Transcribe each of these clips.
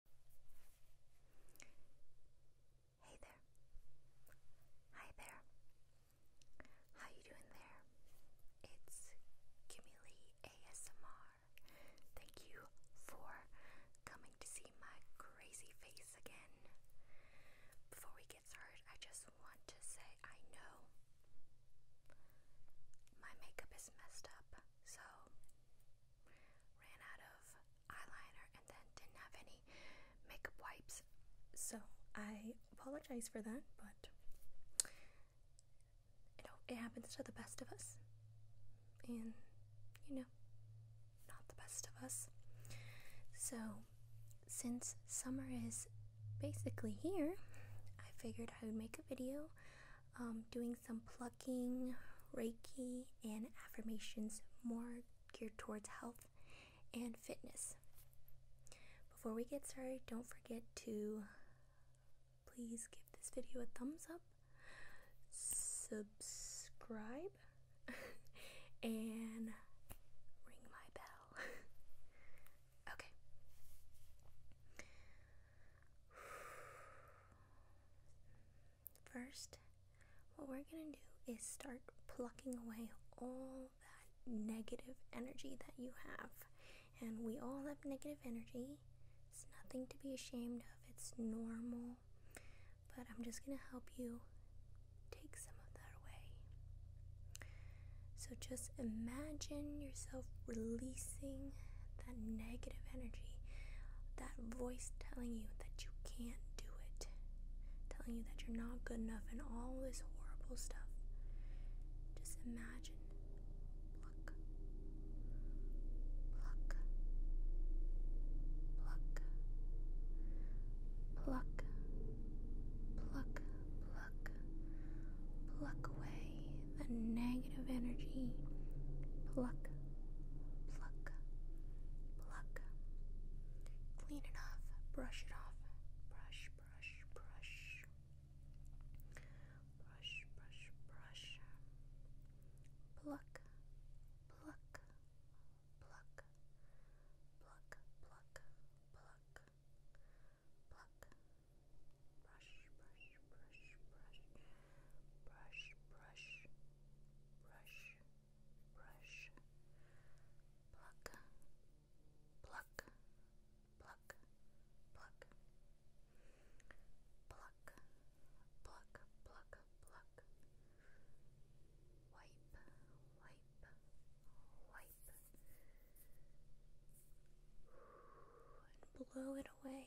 Hey there. Hi there. How you doing there? It's Kimili ASMR. Thank you for coming to see my crazy face again. Before we get started, I just want to say I know my makeup is messed up, so ran out of eyeliner and then didn't have any makeup wipes. So I apologize for that, but you know, it happens to the best of us. And you know, not the best of us. So since summer is basically here, I figured I would make a video um, doing some plucking, Reiki, and affirmations more geared towards health and fitness. Before we get started, don't forget to please give this video a thumbs up, subscribe, and ring my bell. okay. First, what we're going to do is start plucking away all that negative energy that you have. And we all have negative energy. It's nothing to be ashamed of, it's normal. But I'm just going to help you take some of that away. So just imagine yourself releasing that negative energy, that voice telling you that you can't do it, telling you that you're not good enough, and all this horrible stuff. Just imagine. Pluck. Pluck. Pluck. Pluck. Pluck. Pluck. Pluck away the negative energy. Pluck pluck, pluck. Clean it off, brush it off, brush, brush, brush, brush, brush, brush. Pluck, pluck, pluck, pluck, pluck, pluck, pluck. Brush, brush, brush, brush brush, brush, brush, brush, pluck, pluck, pluck, pluck, pluck, pluck, pluck, pluck, wipe, wipe, wipe, and blow it away.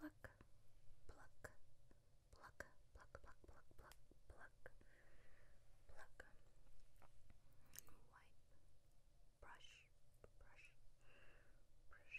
Pluck, pluck, pluck, pluck, pluck, pluck, pluck, pluck, pluck. brush, brush, brush, brush,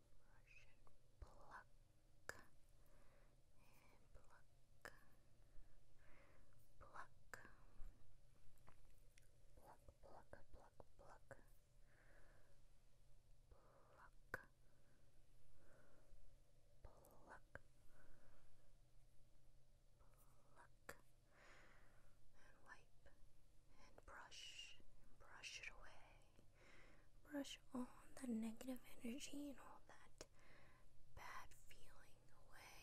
brush and pluck and pluck pluck pluck pluck pluck pluck pluck pluck pluck and wipe and brush and brush it away brush all the negative energy and all that bad feeling away.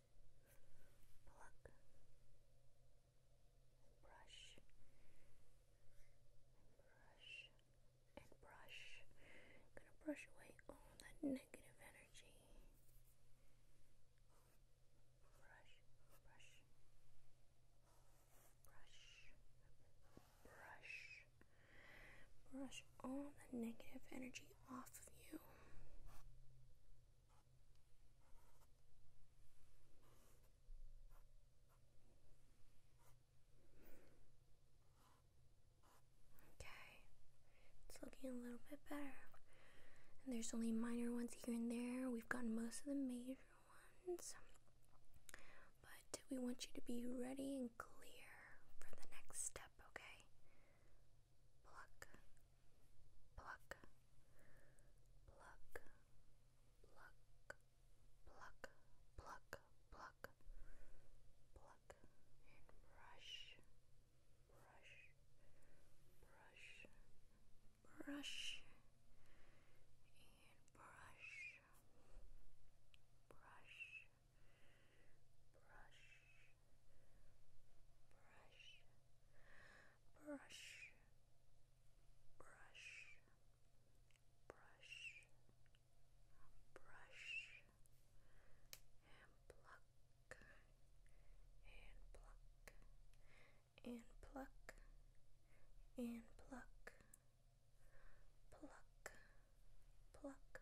brush, brush, and brush. gonna brush away all that negative energy. Brush, brush, brush, brush, brush all the negative energy Okay, it's looking a little bit better. And there's only minor ones here and there. We've gotten most of the major ones. But we want you to be ready and clear for the next step, okay? pluck, pluck, pluck, pluck, pluck, pluck, pluck, pluck, and brush, brush, brush, brush, and brush, brush, brush, brush, brush, brush, brush, brush, and pluck, and pluck, and pluck, and pluck, pluck, pluck,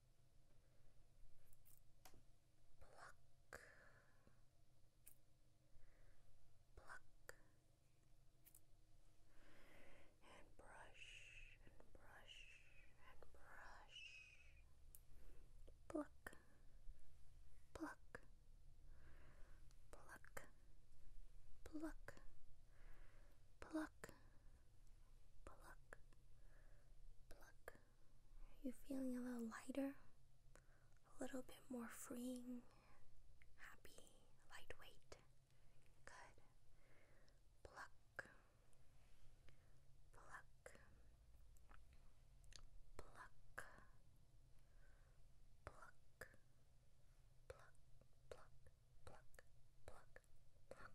pluck, pluck, and brush and brush and brush, pluck, pluck, pluck, pluck, pluck. Pluck, pluck, are you feeling a little lighter? A little bit more freeing? Happy? Lightweight? Good. Pluck. Pluck. Pluck. Pluck. Pluck. Pluck. Pluck. Pluck. Pluck. Pluck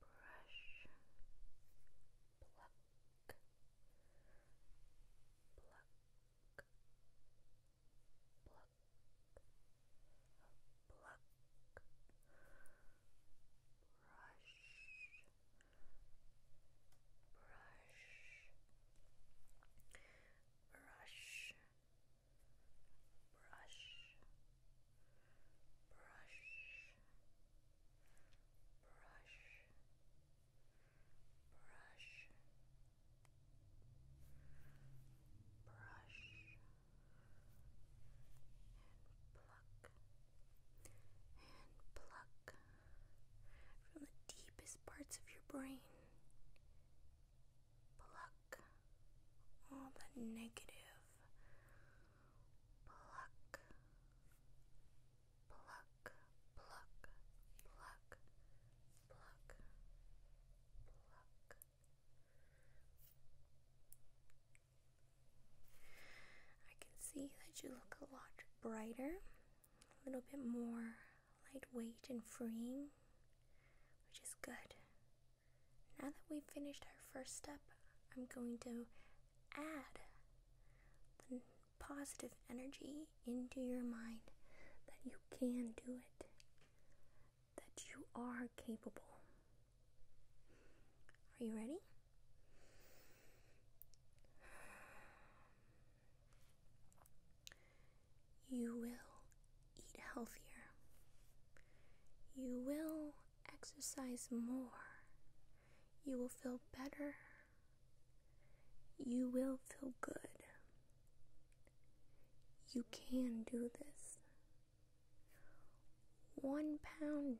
brush, pluck, pluck, pluck, pluck, brush, brush. Brush, brush, brush, brush, brush, brush, and pluck, and pluck from the deepest parts of your brain pluck all the negative, pluck, pluck, pluck, pluck, pluck, pluck. I can see that you look a lot brighter, a little bit more lightweight and freeing, which is good. Now that we've finished our first step, I'm going to add the positive energy into your mind that you can do it, that you are capable. Are you ready? You will eat healthier. You will exercise more. You will feel better. You will feel good. You can do this. One pound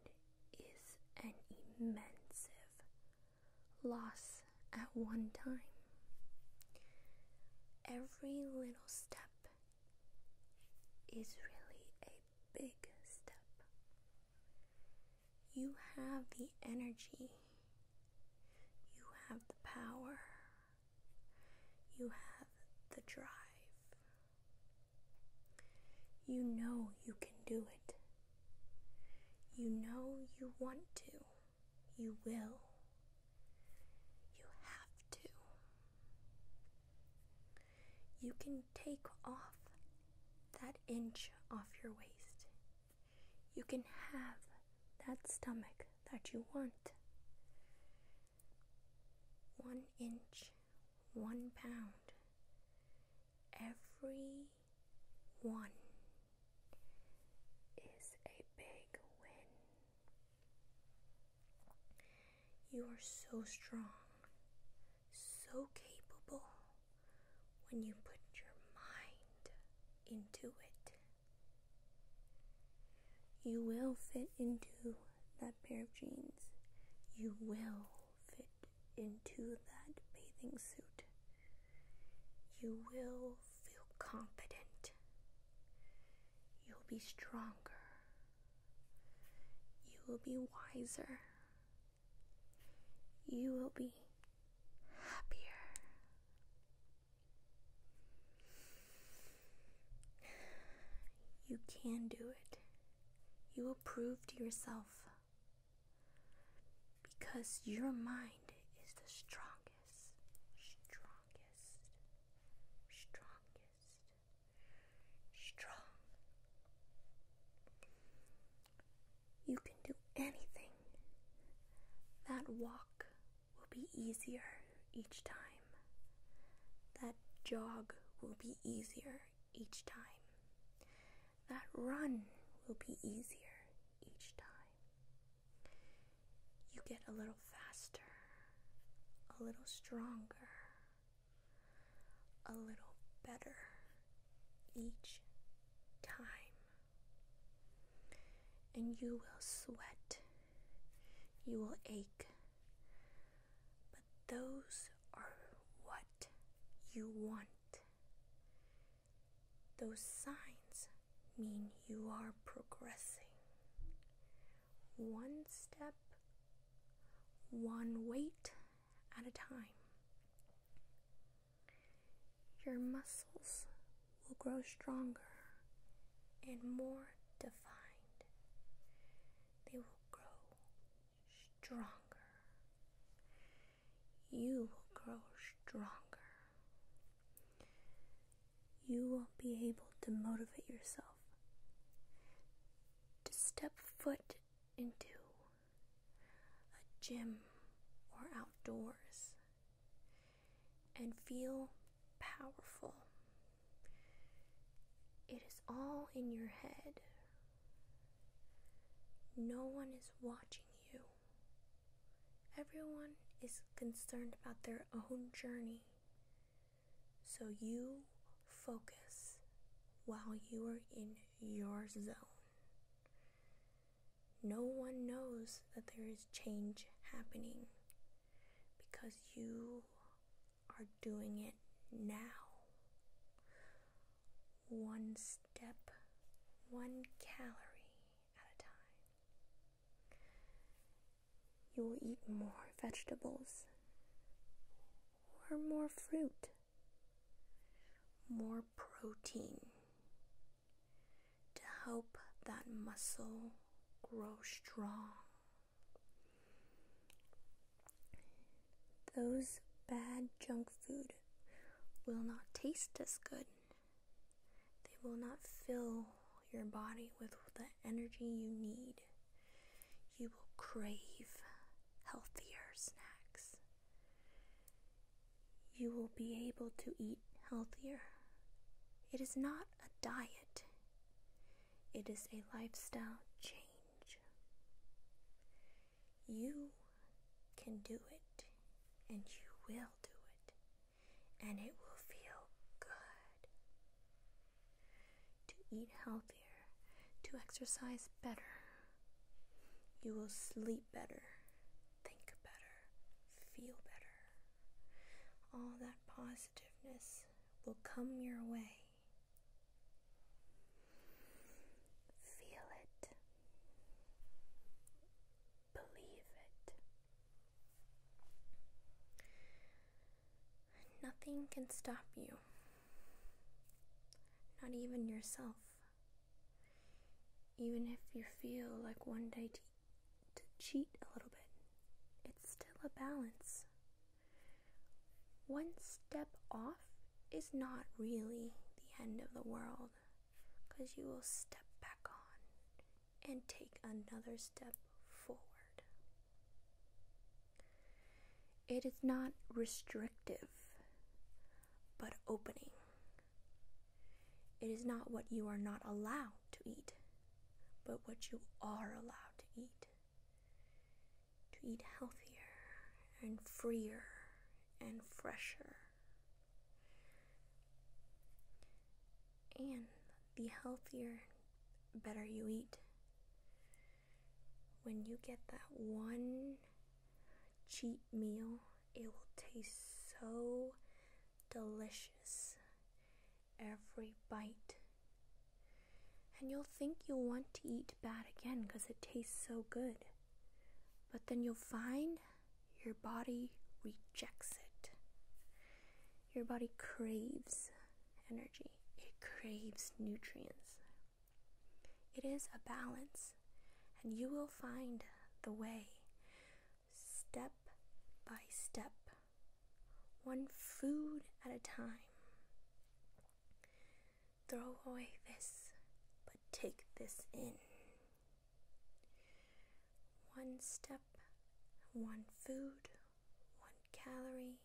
is an immense loss at one time. Every little step is really a big step. You have the energy, you have the power, you have the drive. You know you can do it. You know you want to. You will. You have to. You can take off that inch off your waist. You can have that stomach that you want. One inch, one pound. Every one is a big win. You are so strong, so capable when you put your mind into it. You will fit into that pair of jeans. You will fit into that bathing suit. You will feel confident. You'll be stronger you will be wiser. You will be happier. You can do it. You will prove to yourself because your mind is the strongest, strongest, strongest strong. You can do anything. That walk will be easier each time. That jog will be easier each time. That run will be easier each time. You get a little faster, a little stronger, a little better each time. And you will sweat, you will ache, but those are what you want. Those signs mean you are progressing one step, one weight at a time. Your muscles will grow stronger and more defined. They will grow stronger. You will grow stronger. You will be able to motivate yourself to step foot into a gym or outdoors and feel powerful. It is all in your head. No one is watching you. Everyone is concerned about their own journey so you focus while you are in your zone. No one knows that there is change happening because you are doing it now. One step, one calorie at a time you will eat more vegetables or more fruit, more protein to help that muscle grow strong. Those bad junk food will not taste as good. They will not fill your body with the energy you need you will crave healthier snacks. You will be able to eat healthier. It is not a diet, it is a lifestyle change. You can do it, and you will do it, and it will feel good to eat healthier, to exercise better. You will sleep better, think better, feel better. All that positiveness will come your way. Feel it. Believe it. Nothing can stop you, not even yourself. Even if you feel like one day to, to cheat a little bit, it's still a balance. One step off is not really the end of the world because you will step back on and take another step forward. It is not restrictive, but opening. It is not what you are not allowed to eat, but what you are allowed to eat. To eat healthier and freer and fresher. And the healthier, better you eat, when you get that one cheat meal, it will taste so delicious every bite. And you'll think you'll want to eat bad again because it tastes so good. But then you'll find your body rejects it. Your body craves energy, it craves nutrients. It is a balance, and you will find the way step by step, one food at a time. Throw away this, but take this in. One step, one food, one calorie,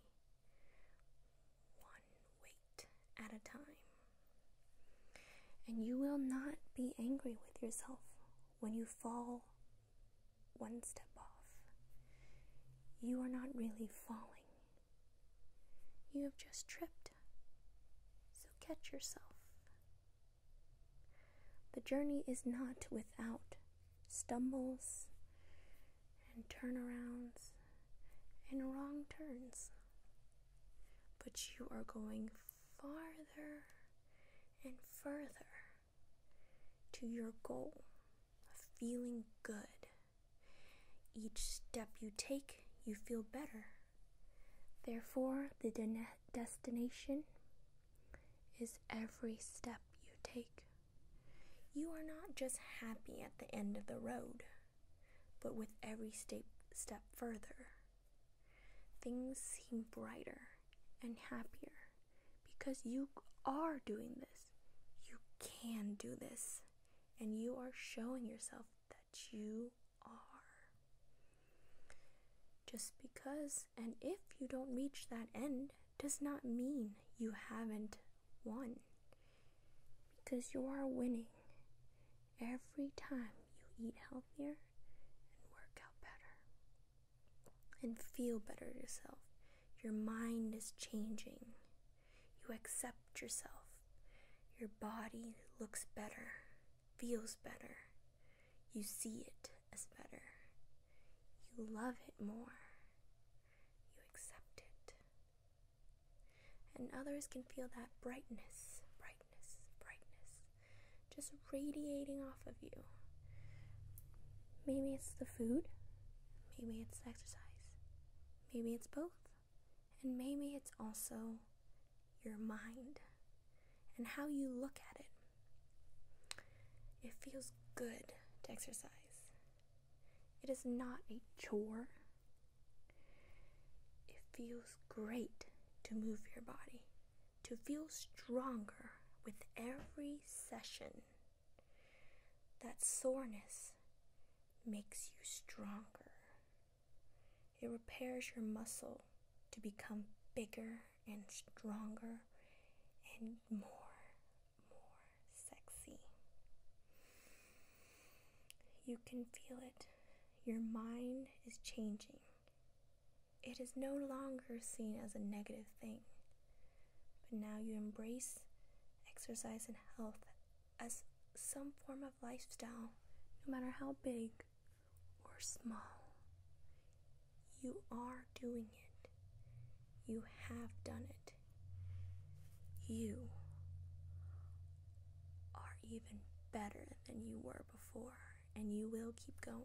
one weight at a time. And you will not be angry with yourself when you fall one step off. You are not really falling, you have just tripped. So catch yourself. The journey is not without stumbles and turnarounds and wrong turns. But you are going farther and further to your goal of feeling good. Each step you take, you feel better. Therefore, the destination is every step you take. You are not just happy at the end of the road, but with every step, further, things seem brighter and happier because you are doing this. You can do this, and you are showing yourself that you are. Just because and if you don't reach that end, does not mean you haven't won because you are winning every time you eat healthier and work out better and feel better yourself. Your mind is changing. You accept yourself. Your body looks better, feels better. You see it as better. You love it more you accept it. And others can feel that brightness, brightness, brightness just radiating off of you. Maybe it's the food, maybe it's exercise, maybe it's both, and maybe it's also your mind and how you look at it. It feels good to exercise. It is not a chore. It feels great to move your body, to feel stronger with every session. That soreness makes you stronger. It repairs your muscle to become bigger and stronger and more more sexy. You can feel it. Your mind is changing. It is no longer seen as a negative thing, but now you embrace exercise and health as some form of lifestyle, no matter how big or small. You are doing it. You have done it. You are even better than you were before, and you will keep going.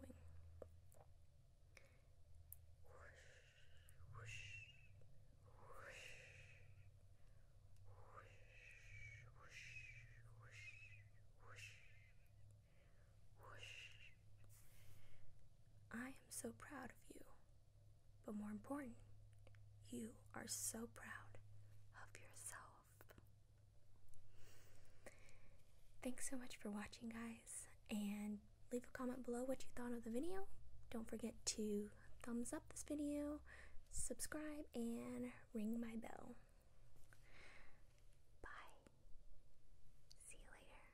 I am so proud of you. But more important, you are so proud of yourself. Thanks so much for watching, guys, and leave a comment below what you thought of the video. Don't forget to thumbs up this video, subscribe, and ring my bell. Bye. See you later.